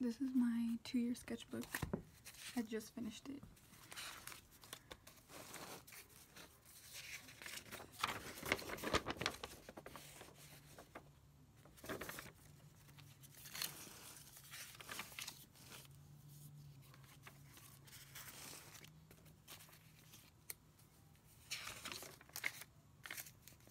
This is my two-year sketchbook. I just finished it.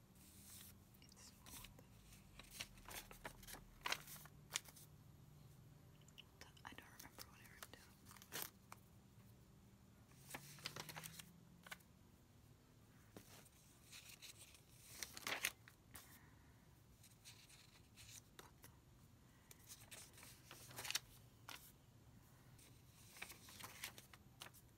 It's I don't remember what I wrote down.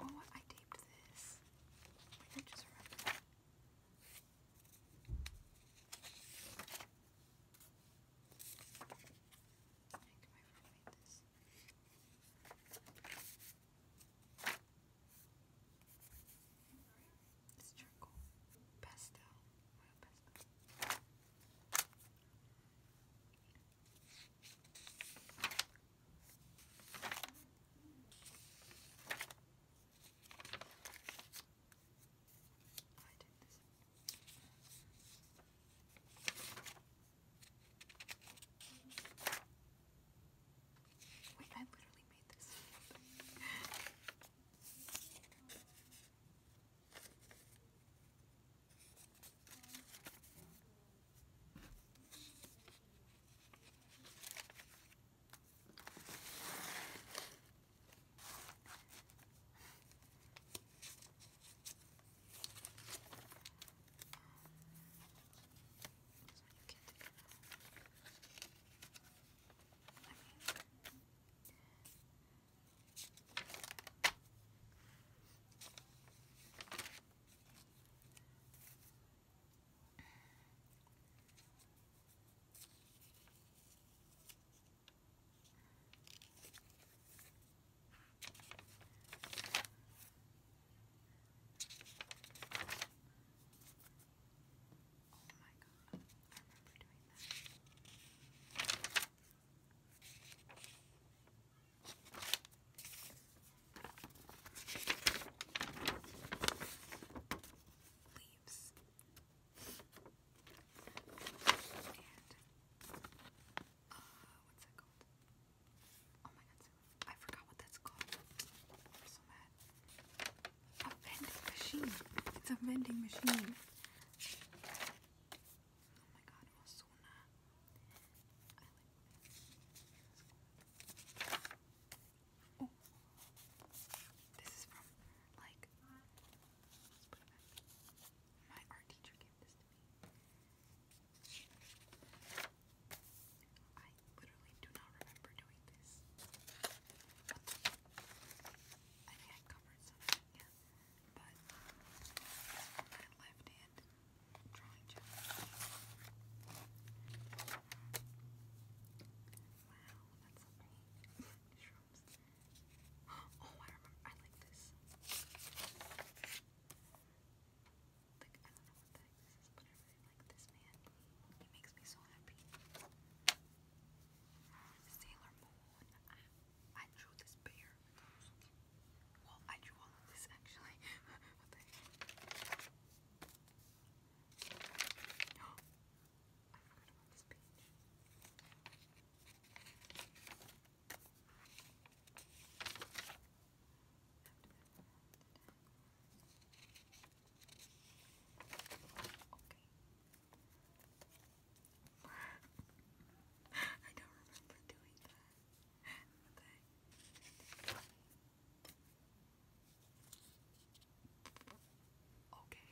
Oh, I taped this. I just remembered. I think my this. charcoal. pastel. Wait, I literally made this. I mean, Oh I remember doing that leaves and uh, what's that called? Oh my god, I forgot what that's called. so mad. A vending machine. It's a vending machine. Oh my god, Osuna. I this. is from like My art teacher gave this to me. I literally do not remember doing this. I think I covered something, yeah but my left hand drawing challenge. Wow, that's so Oh, I remember. I like this. Like, I don't know what this is, but I really like this man. He makes me so happy. Sailor Moon. I, I drew this bear. Well, I drew all of this actually. I forgot about this page. Okay. I don't remember doing that. Okay. Okay. Okay.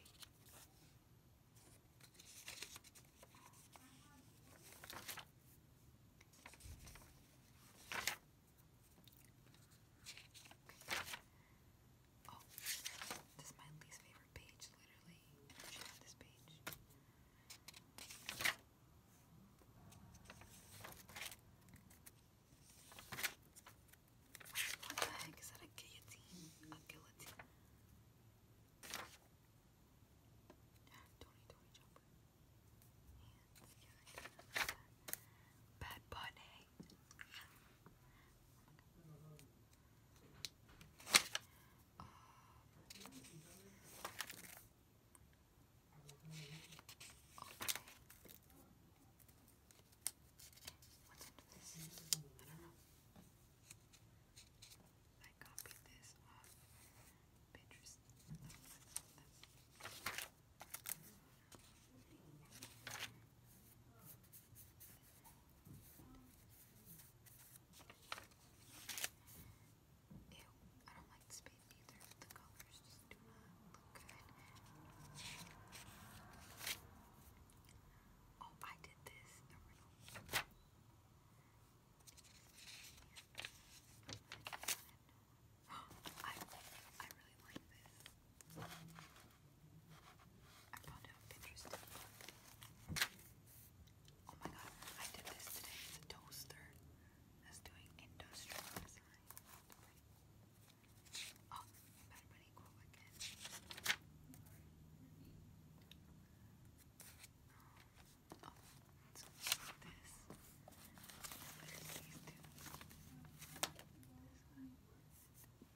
Oh, this is my least favorite page, literally. And I this page. What the heck? Is that a guillotine? A guillotine? Tony, Tony Jumper. Bad Bunny. Um, okay. What's into this? I don't know. I copied this off Pinterest. That's Ew, I don't like this paint either. The colors just do not look good. Oh, I did this. I, I really like this. I found out Pinterest. Oh my god, I did this today. It's toaster that's doing industrial design. Oh, Bad Bunny cool again. Oh, it's so like this. This one. This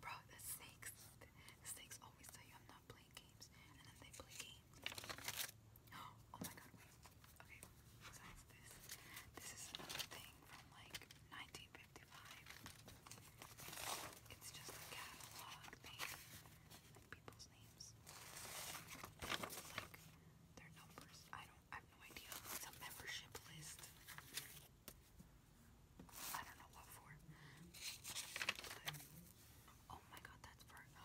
Bro, the snakes, the snakes always tell you I'm not playing games, and then they play games. Oh my god, Okay, this, is another thing from like 1955. It's just a catalog thing, people's names, like their numbers. I don't, have no idea. It's a membership list. I don't know what for. But, oh my god, that's for. Oh,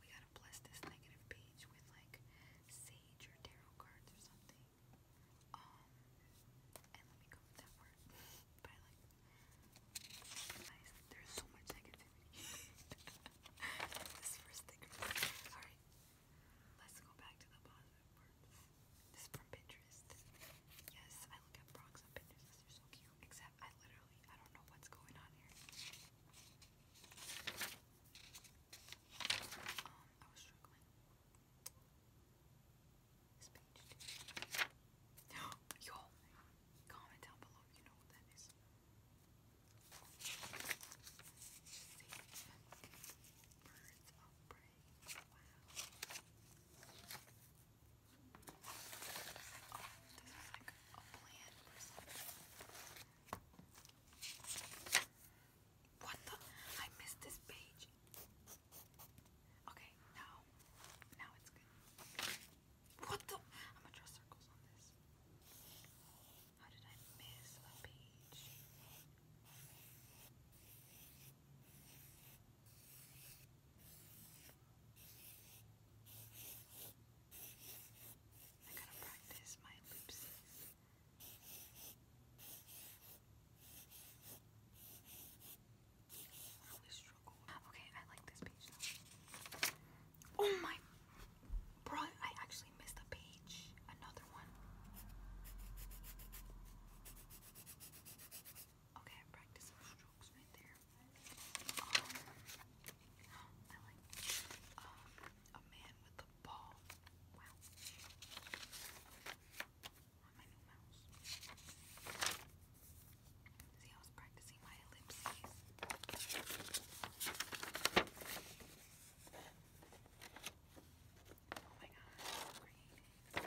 we gotta bless this negative page with like sage or tarot cards or something. Um, and let me go with that word. but like, there's so much negativity. this is for Alright, let's go back to the positive words. This is from Pinterest. Yes, I look at frogs on They're so cute. Except I literally really. I don't know what's going on here. Um, I was struggling. This page. Yo, comment down below if you know what that is. Wow. Oh, this What the? I missed this page. Okay, now, now it's good. What the? I'm gonna draw circles on this. How did I miss a page? I gotta practice my loopsies. I always struggle. Okay, I like this page Oh my bro, I actually missed a page. Another one. Okay, I'm practicing strokes right there. Uh, a man with a ball. Wow. See, I was practicing my ellipses. Oh my god,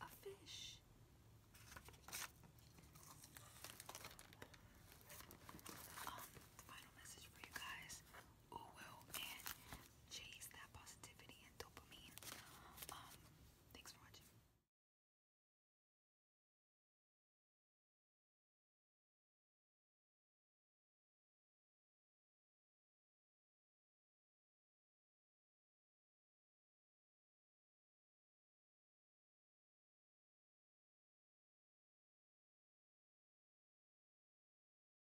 A fish. Um, the final message for you guys will and chase that positivity and dopamine. Um, thanks for watching.